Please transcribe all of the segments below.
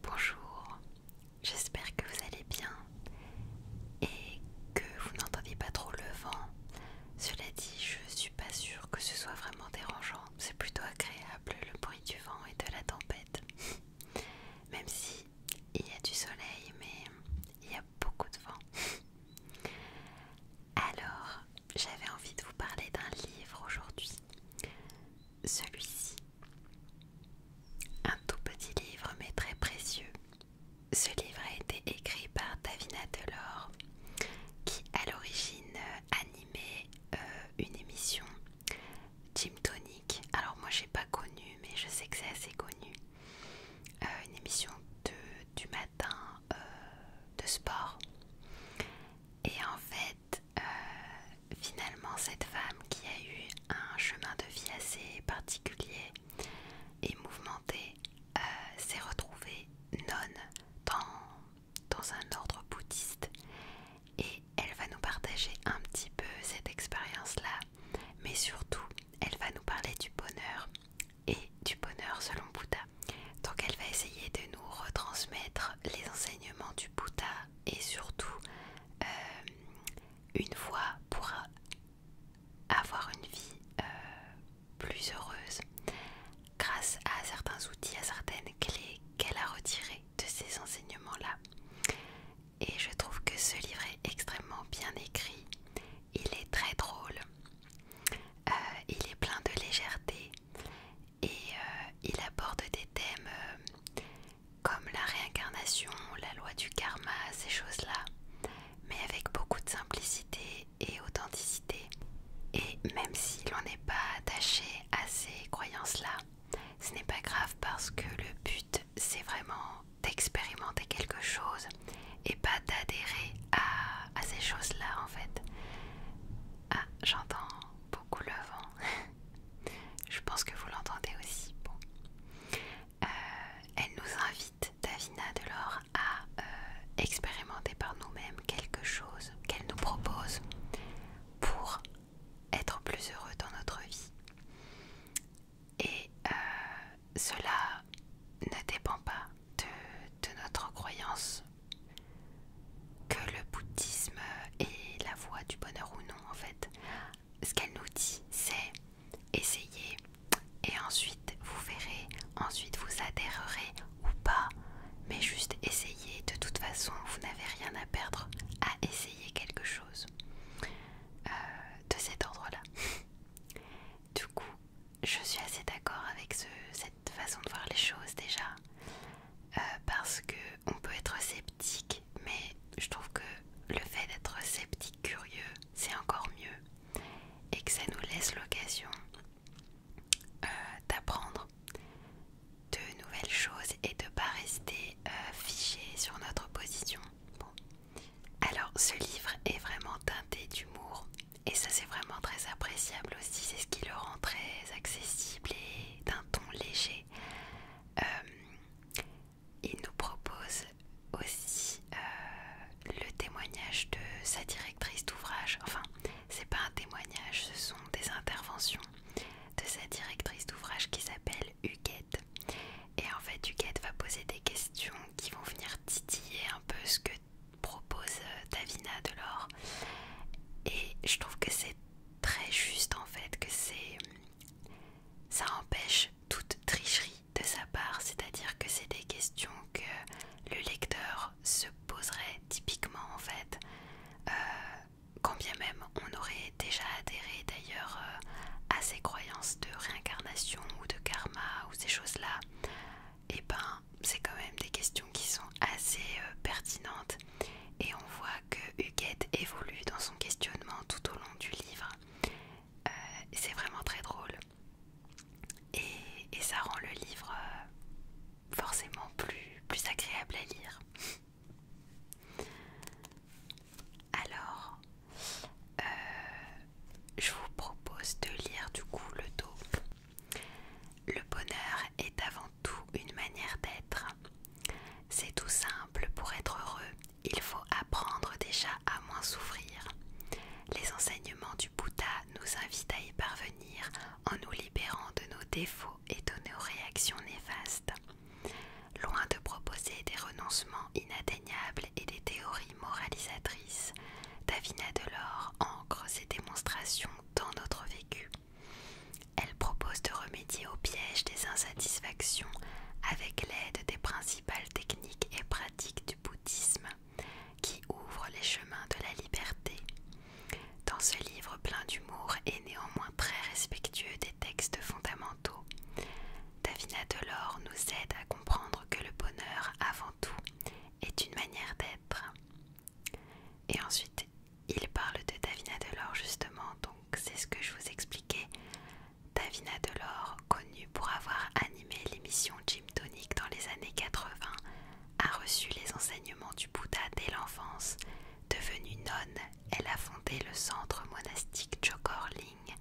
Bonjour, j'espère que vous allez bien et que vous n'entendez pas trop le vent. Cela dit, je suis pas sûre que ce soit vraiment dérangeant. C'est plutôt agréable le bruit du vent et de la tempête. Même si il y a du soleil, mais il y a beaucoup de vent. Alors, j'avais envie de vous parler d'un livre aujourd'hui celui-ci. Un tout petit livre mais très précieux. Ce livre a été écrit par Davina Delors qui à l'origine animait euh, une émission Gym Tonic. Alors moi j'ai pas connu mais je sais que c'est assez connu. Euh, une émission de, du matin euh, de sport. Et en fait, euh, finalement, cette femme qui a eu un chemin de vie assez particulier et mouvementé euh, s'est retrouvée nonne dans, dans un ordre bouddhiste et elle va nous partager un petit peu cette expérience-là, mais surtout, elle va nous parler du bonheur et du bonheur selon Bouddha. Donc elle va essayer de nous retransmettre les enseignements du et surtout euh, une voie pour avoir une vie euh, plus heureuse grâce à certains outils, à certaines clés qu'elle a retirées de ces enseignements-là. Et je trouve que ce livre est extrêmement bien écrit. Il est très drôle. Euh, il est plein de légèreté et euh, il aborde des thèmes euh, comme la réincarnation, la loi du karma, ces choses-là, mais avec beaucoup de simplicité et authenticité. Et même si l'on n'est pas attaché à ces croyances-là, ce n'est pas grave parce que le but, c'est vraiment d'expérimenter quelque chose et pas d'adhérer à ces choses-là en fait. Ah, j'entends beaucoup le vent. Je pense que vous l'entendez aussi. Euh, elle nous invite, Davina Delors, à euh, expérimenter par nous-mêmes quelque chose qu'elle nous propose pour être plus heureux dans notre vie. Et euh, cela ne dépend pas de notre croyance que le bouddhisme est la voie du bonheur ou non en fait. Ce qu'elle nous dit, c'est essayez et ensuite vous verrez, ensuite vous adhérerez ou pas, mais juste essayez. De toute façon, vous n'avez rien à perdre à essayer quelque chose euh, de cet ordre-là. du coup, je suis assez d'accord avec cette façon de voir les choses déjà. Euh, parce que on peut être sceptique, mais je trouve que le fait d'être sceptique curieux, c'est encore mieux et que ça nous laisse l'occasion euh, d'apprendre de nouvelles choses et de pas rester euh, figé fiché sur notre position. Alors ce livre est vraiment teinté d'humour et ça c'est vraiment très appréciable aussi, c'est ce qui le rend très accessible et d'un ton léger. Euh, il nous propose aussi euh, le témoignage de sa directrice d'ouvrage. Enfin, c'est pas un témoignage, ce sont des interventions de sa directrice d'ouvrage qui s'appelle Huguette. Et en fait, Huguette va poser des questions qui vont venir titiller un peu ce que propose euh, Davina Delors. Et je trouve que c'est très juste en fait, que c'est ça empêche toute tricherie de sa part, c'est-à-dire que c'est des questions que le lecteur se poserait typiquement en fait, Combien euh, même on aurait déjà adhéré d'ailleurs euh, à ces croyances de réincarnation ou de karma ou ces choses-là, et eh ben c'est quand même des questions qui sont assez euh, pertinentes et on voit que Huguette évolue dans son questionnement tout au long du livre. Euh, c'est vraiment très drôle et, ça rend le livre euh, forcément plus, agréable à lire. Alors, je vous propose de lire du coup le dos le bonheur est avant tout une manière d'être. C'est tout simple, pour être heureux, il faut apprendre déjà à moins souffrir. Les enseignements du Bouddha nous invitent à y parvenir en nous libérant de nos défauts et de nos réactions néfastes. Loin de proposer des renoncements inatteignables et des théories moralisatrices, Davina Delors ancre ses démonstrations dans notre vécu. Elle propose de remédier au piège des insatisfactions avec l'aide des principales techniques et pratiques du bouddhisme qui ouvrent les chemins de la liberté. Dans ce livre plein d'humour et néanmoins très respectueux des textes fondamentaux, Davina Delors nous aide à comprendre que le bonheur, avant tout, est une manière d'être. Et ensuite, il parle de Davina Delors justement, donc c'est ce que je vous expliquais. Davina Delors, connue pour avoir animé l'émission Jim Tonic dans les années 80, a reçu les enseignements du Bouddha dès l'enfance. Devenue nonne, elle a fondé le centre monastique Jokor Ling,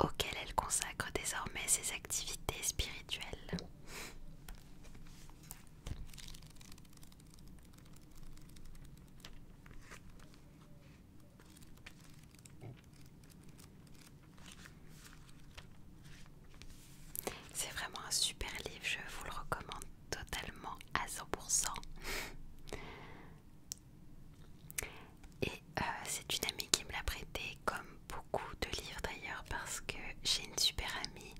auquel elle consacre désormais ses activités spirituelles. C'est vraiment un super livre, je vous le recommande totalement à 100%. Et euh, c'est une amie qui me l'a prêté comme beaucoup de livres d'ailleurs parce que j'ai une super amie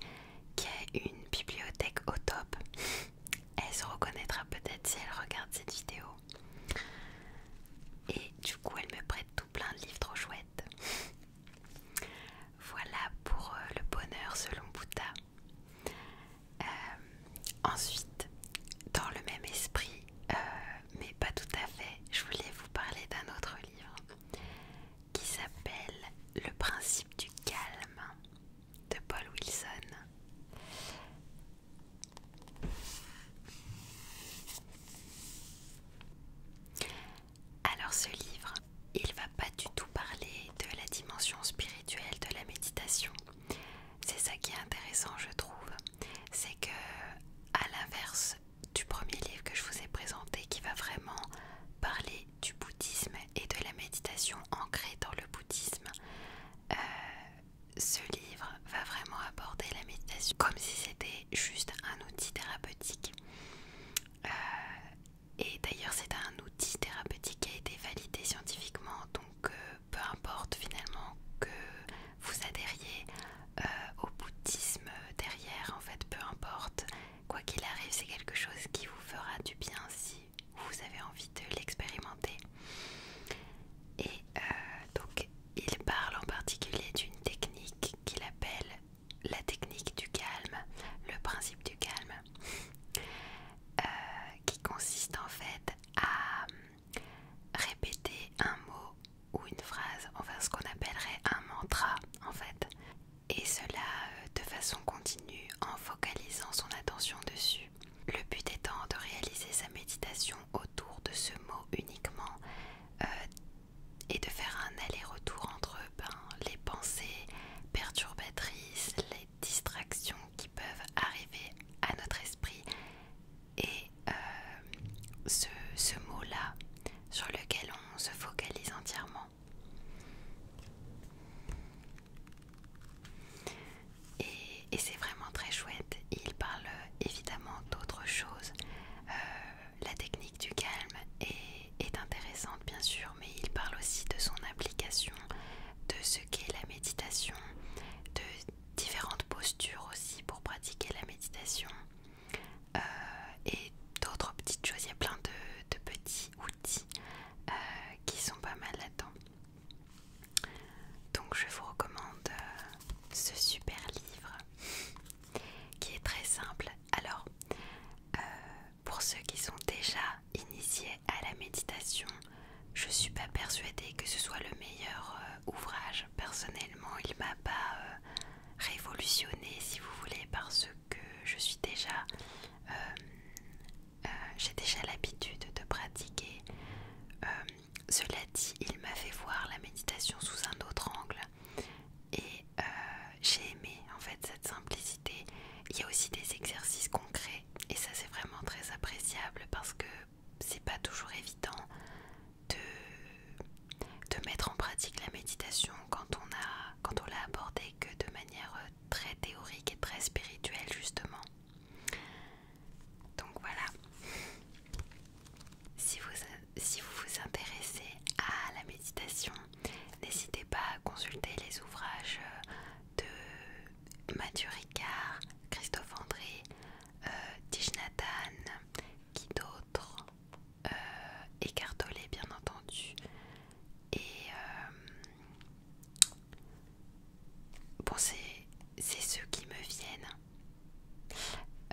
qui a une bibliothèque au top. Elle se reconnaîtra peut-être si elle regarde cette vidéo. Et du coup, elle me prête tout plein de livres trop chouettes. Voilà pour euh, le bonheur selon Bouta euh, ensuite, dans le même esprit, euh, mais pas tout à fait, je voulais vous parler d'un autre livre qui s'appelle Le principe du calme de Paul Wilson. Alors ce livre, il va pas du tout parler de la dimension spirituelle de la méditation. C'est ça qui est intéressant, je trouve, c'est que à l'inverse du premier livre que je vous ai présenté qui va vraiment parler du bouddhisme et de la méditation ancrée dans le bouddhisme. Euh, ce livre va vraiment aborder la méditation comme si c'était juste un outil thérapeutique. Euh, et d'ailleurs c'est un outil thérapeutique qui a été validé scientifiquement, donc euh, peu importe finalement que vous adhériez euh, au bouddhisme derrière, en fait, peu importe. Quoi qu'il arrive, c'est quelque chose qui vous fera du bien si vous avez envie de l'expérimenter. Et euh, donc, il parle en particulier d'une technique qu'il appelle la technique du calme, le principe du calme, euh, qui consiste en fait à hum, répéter un mot ou une phrase, enfin ce qu'on appellerait un mantra en fait, et cela euh, de façon continue en focalisant son attention dessus. Le but étant de réaliser sa méditation autour de ce mot uniquement euh, et de faire un aller-retour entre ben, les pensées perturbatrices, les distractions qui peuvent arriver à notre esprit et euh, ce, mot-là sur lequel on se focalise entièrement. Et, c'est vraiment très chouette. Il parle évidemment d'autres choses. Euh, la technique du calme est, est intéressante bien sûr, mais il parle aussi de son application, de ce qu'est la méditation, de différentes postures aussi pour pratiquer la méditation. Euh, et d'autres petites choses. Il y a plein de, petits outils euh, qui sont pas mal là-dedans. Donc je vous recommande euh, ce super livre qui est très simple. Alors, pour ceux qui sont déjà initiés à la méditation, je suis pas persuadée que ce soit le meilleur euh, ouvrage. Personnellement, il m'a pas euh, révolutionné, si vous voulez, parce que je suis déjà, euh, j'ai déjà l'habitude de pratiquer. cela dit, il m'a fait voir la méditation sous un autre angle, et j'ai aimé en fait cette simplicité. Il y a aussi des exercices concrets, et ça c'est vraiment très appréciable parce que c'est pas toujours évident de, de mettre en pratique la méditation quand on a quand on l'a abordée que de manière euh, très théorique et très spirituelle justement. Donc voilà. Si vous, si vous vous intéressez à la méditation, n'hésitez pas à consulter les ouvrages euh, de Mathieu Ricard, Christophe André, euh, qui d'autre euh, bien entendu et euh, bon c'est ceux qui me viennent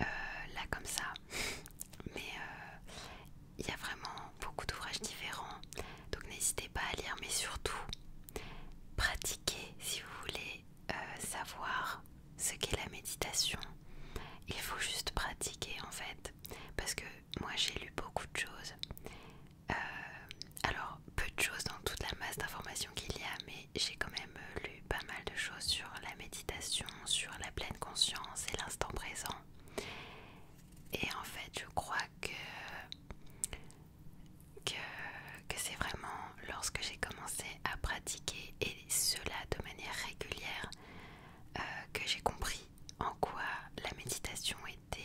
euh, là comme ça mais euh, il y a vraiment beaucoup d'ouvrages différents donc n'hésitez pas à lire mais surtout pratiquez si vous voulez savoir ce qu'est la méditation. Il faut juste pratiquer en fait. Parce que moi j'ai lu beaucoup de choses. Euh, alors peu de choses dans toute la masse d'informations qu'il y a, mais j'ai quand même euh, lu pas mal de choses sur la méditation, sur la pleine conscience et l'instant présent. Et en fait je crois que, que c'est vraiment lorsque j'ai commencé à pratiquer et cela de manière régulière euh, que j'ai compris en quoi la méditation était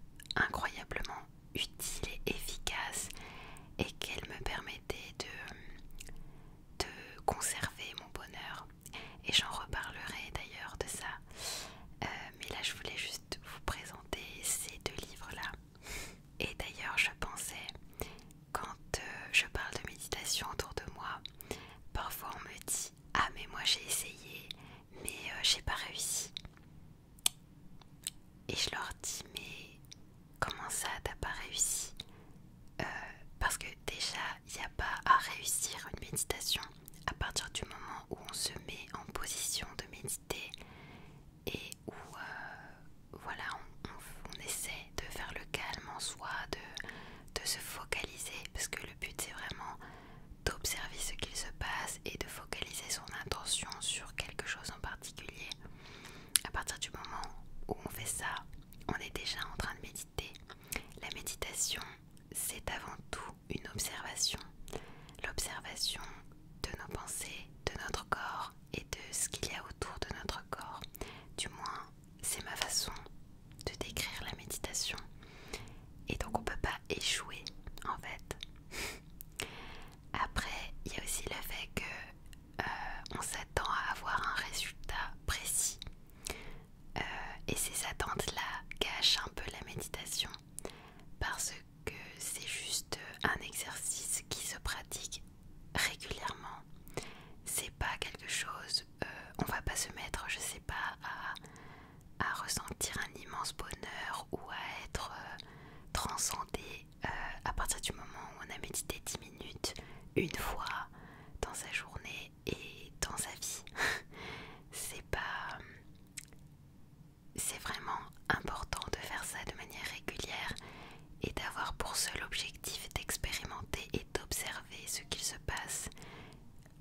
euh, incroyablement utile et efficace et qu'elle me permettait de, conserver mon bonheur. Et j'en reparlerai d'ailleurs de ça. Euh, mais là, je voulais juste vous présenter ces deux livres-là. Et d'ailleurs, je pensais, quand euh, je parle de méditation autour de moi, parfois on me dit Ah, mais moi j'ai essayé, mais euh, j'ai pas réussi. Et je leur dis Mais comment ça, t'as pas réussi euh, Parce que déjà, il n'y a pas à réussir une méditation à partir du moment où on se met en position de méditer et où euh, voilà, on, essaie de faire le calme en soi, de, de se focaliser, parce que le but c'est vraiment d'observer ce qu'il se passe et de focaliser son attention sur quelque chose en particulier. À partir du moment où on fait ça, on est déjà en train de méditer. La méditation, c'est avant tout une observation. L'observation de nos pensées, de notre corps, et de ce qu'il y a autour de notre corps. Du moins, c'est ma façon de décrire la méditation. Et donc on peut pas échouer en fait. Après, il y a aussi le fait que euh, on s'attend à avoir un résultat précis. Euh, et ces attentes-là cachent un peu la méditation parce que c'est juste un exercice qui se pratique régulièrement. C'est pas quelque chose, euh, on va pas se mettre, je sais pas, à, ressentir un immense bonheur ou à être euh, transcendé euh, à partir du moment où on a médité 10 minutes une fois dans sa journée et dans sa vie. c'est pas. C'est vraiment important de faire ça de manière régulière et d'avoir pour seul objectif d'expérimenter et d'observer ce qu'il se passe.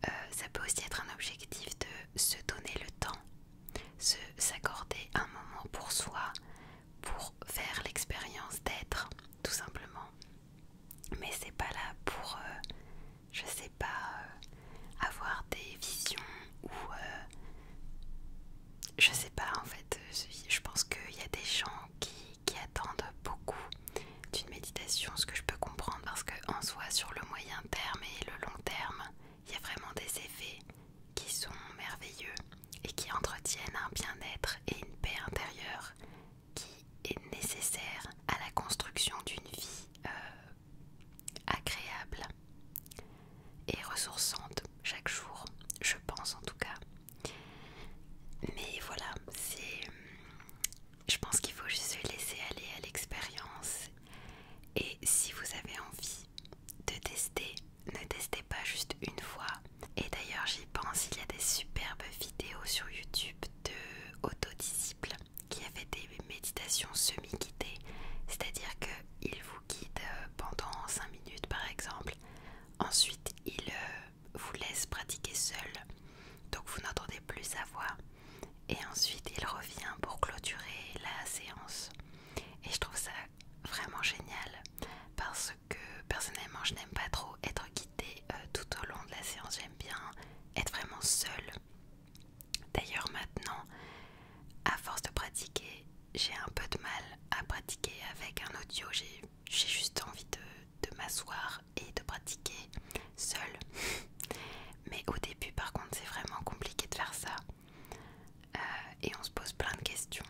Euh, ça peut aussi être un objectif de se donner le temps, se s'accorder un moment pour soi, pour faire l'expérience d'être, tout simplement. Mais c'est pas là pour, euh, je sais pas, euh, avoir des visions ou je sais pas en fait, je pense qu'il y a des gens qui, attendent beaucoup d'une méditation, ce que je peux comprendre, parce qu'en soi, sur le moyen terme et le long terme, il y a vraiment des effets qui sont merveilleux et qui entretiennent un bien-être et une paix intérieure qui est nécessaire à la construction d'une vie euh, agréable et ressourçante chaque jour, je pense en tout cas. Mais voilà, c'est... Je pense qu'il faut juste se laisser aller à l'expérience. Et si vous avez envie de tester, ne testez pas juste une fois. Et d'ailleurs, j'y pense, il y a des superbes vidéos sur YouTube de autodisciples qui avait des méditations semi-guidées. C'est-à-dire qu'ils vous guident euh, pendant 5 par exemple. Ensuite, il euh, vous laisse pratiquer seul, donc vous n'entendez plus sa voix. Et ensuite, il revient pour clôturer la séance. Et je trouve ça vraiment génial parce que personnellement, je n'aime pas trop être guidée euh, tout au long de la séance. J'aime bien être vraiment seule. D'ailleurs, maintenant, à force de pratiquer, j'ai un peu de mal à pratiquer avec un audio. J'ai juste envie de, m'asseoir et de pratiquer seule. Mais au début, par contre, c'est vraiment compliqué de faire ça. Euh, et on se pose plein de questions.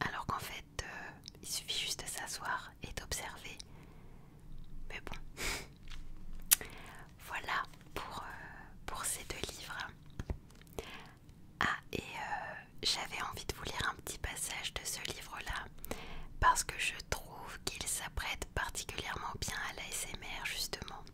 Alors qu'en fait, euh, il suffit juste de s'asseoir et d'observer. Mais bon. voilà euh, pour ces deux livres. Ah, et euh, j'avais envie de vous lire un petit passage de ce livre-là, parce que je trouve qu'il s'apprête particulièrement bien à l'ASMR, justement.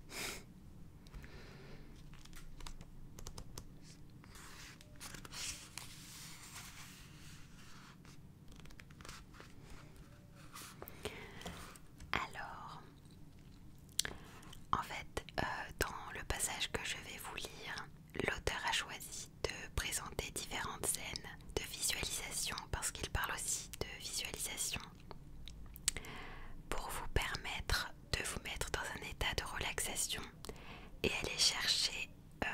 Alors, en fait, euh, dans le passage que je vais vous lire, l'auteur a choisi de présenter différentes scènes de visualisation parce qu'il parle aussi de visualisation pour vous permettre de vous mettre dans un état de relaxation et aller chercher euh,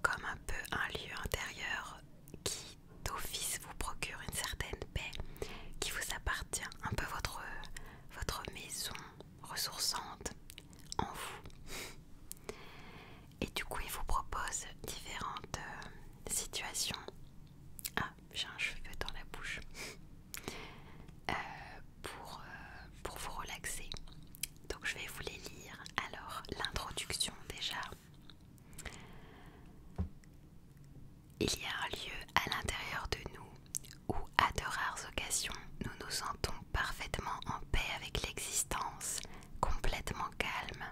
comme un peu un lieu intérieur qui d'office vous procure une certaine paix qui vous appartient, un peu votre maison, ressourçante en vous. Et du coup, il vous propose différentes euh, situations. Ah, j'ai un cheveu dans la bouche. Euh, pour, euh, pour vous relaxer. Donc, je vais vous les lire. Alors, l'introduction déjà. Il y a un lieu à l'intérieur de nous où, à de rares occasions, nous nous sentons parfaitement en paix avec l'existence, complètement calme.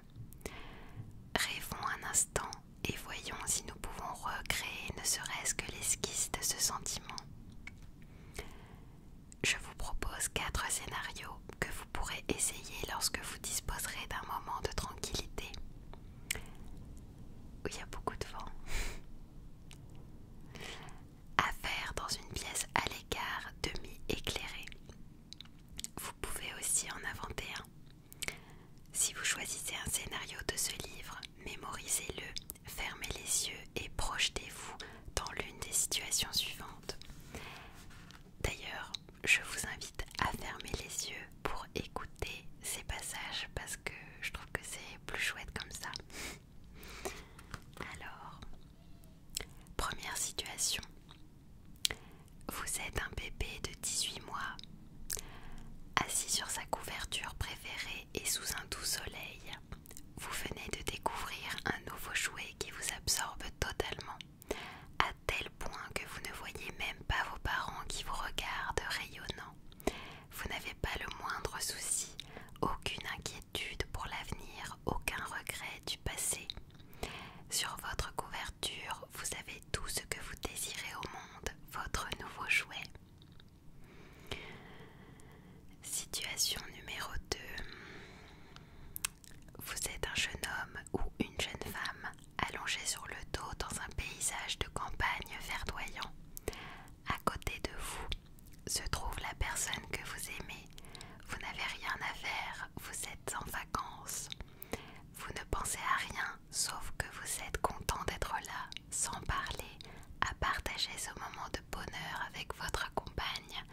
Rêvons un instant et voyons si nous pouvons recréer ne serait-ce que l'esquisse de ce sentiment. Je vous propose quatre scénarios que vous pourrez essayer lorsque vous disposerez d'un moment de tranquillité où il y a beaucoup de vent. à faire dans une pièce à l'écart demi-éclairée. Vous pouvez aussi en inventer un. Si vous choisissez un scénario de ce livre, mémorisez-le, fermez les yeux et projetez-vous dans l'une des situations suivantes. D'ailleurs, je vous invite à fermer les yeux pour écouter ces passages parce que je trouve que c'est plus chouette comme ça. Alors, première situation. Vous êtes un bébé de 18 mois, assis sur sa couverture préférée et sous un doux soleil. Vous venez de découvrir un nouveau jouet qui vous absorbe totalement, à tel point que vous ne voyez même pas vos parents qui vous regardent rayonnant. Vous n'avez pas le moindre souci, aucune inquiétude pour l'avenir, aucun regret du passé. Sur votre couverture, vous avez tout ce que vous désirez au monde, votre nouveau jouet. Situation numéro 2. Vous êtes un jeune homme ou une jeune femme allongé sur le dos dans un paysage de campagne verdoyant. À côté de vous se trouve la personne que vous aimez. Vous n'avez rien à faire, vous êtes en vacances. Vous ne pensez à rien, sauf que vous êtes content d'être là, sans parler, à partager ce moment de bonheur avec votre compagne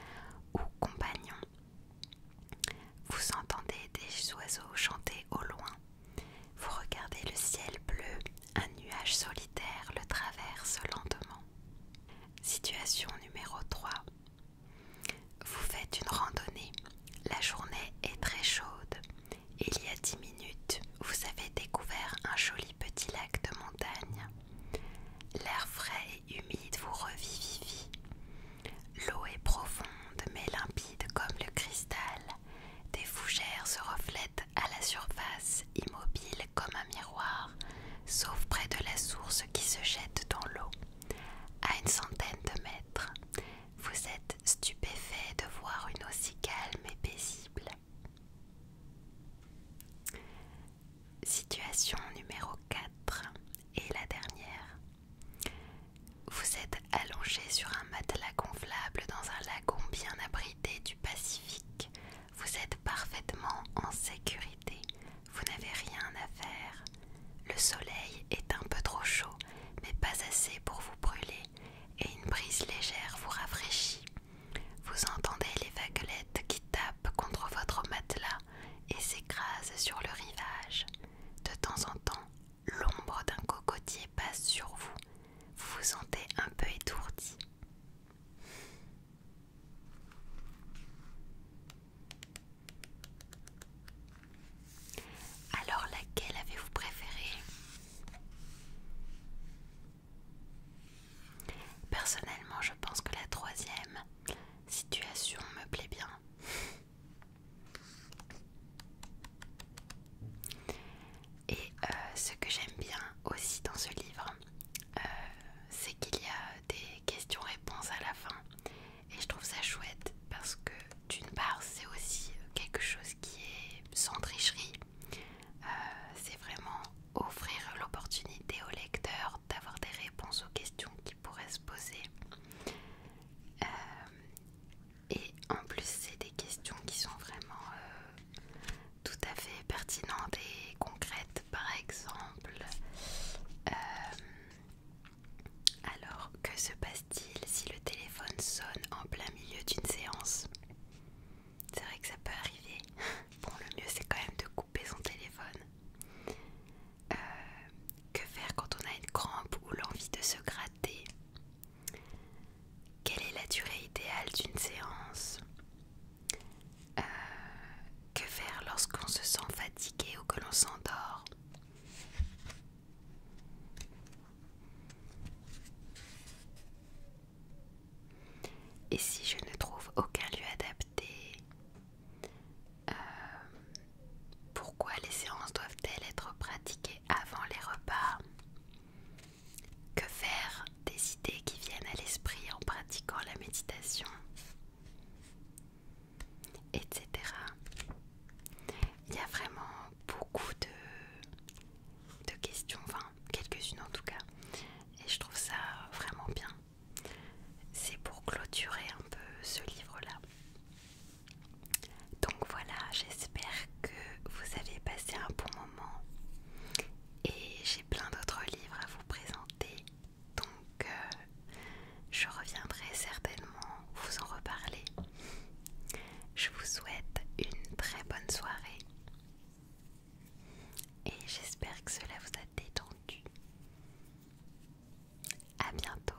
ou compagnon. Vous entendez des oiseaux chanter au loin. Vous regardez le ciel bleu, un nuage solitaire le traverse lentement. Situation numéro 3. Vous faites une randonnée. La journée est très chaude. Il y a 10 minutes, vous avez découvert un joli petit lac de montagne. L'air frais et humide vous revivifie. L'eau est profonde mais limpide comme le cristal des fougères se reflètent à la surface, immobiles comme un miroir, sauf près de la source qui se jette dans l'eau, à une centaine de mètres. Vous êtes stupéfait de voir une eau si calme et paisible. Situation numéro 4 et la dernière. Vous êtes allongé sur un matelas gonflable dans un lagon bien abrité du Pacifique. Vous êtes parfaitement en sécurité. Vous n'avez rien à faire. Le soleil est un peu trop chaud, mais pas assez pour vous brûler, et une brise légère vous rafraîchit. Vous entendez les vaguelettes qui tapent contre votre matelas et s'écrasent sur le rivage. De temps en temps, l'ombre d'un cocotier passe sur vous, vous vous sentez un peu étourdi. Alors laquelle avez-vous préférée Personnellement, je pense que la troisième situation me plaît bien. Et euh, ce que j'aime bien aussi dans ce livre, euh, c'est qu'il y a des questions-réponses à la fin. Et je trouve ça chouette parce que d'une part, c'est aussi quelque chose qui est sans tricherie. Euh, c'est vraiment offrir l'opportunité au lecteur d'avoir des réponses aux questions qu'il pourraient se poser. Et en plus, c'est des questions qui sont vraiment euh, tout à fait pertinentes et concrètes. Par exemple, euh, alors que se passe-t-il si le téléphone sonne en plein milieu d'une séance C'est vrai que ça peut arriver. Bon, le mieux c'est quand même de couper son téléphone. Euh, que faire quand on a une crampe ou l'envie de se gratter quelle est la durée idéale d'une séance euh, Que faire lorsqu'on se sent fatigué ou que l'on s'endort Et si je ne trouve aucun lieu adapté euh, Pourquoi les séances doivent-elles être pratiquées avant les repas Que faire des idées qui viennent à l'esprit en pratiquant la méditation Etc. Il y a vraiment beaucoup de, de questions, enfin quelques-unes en tout cas. Et je trouve ça vraiment bien. C'est pour clôturer un peu ce livre-là. Donc voilà, j'espère que vous avez passé un bon moment et j'ai plein d'autres livres à vous présenter. Donc euh, je reviendrai certainement vous en reparler. Je vous souhaite une très bonne soirée et j'espère que cela vous a détendu. À bientôt.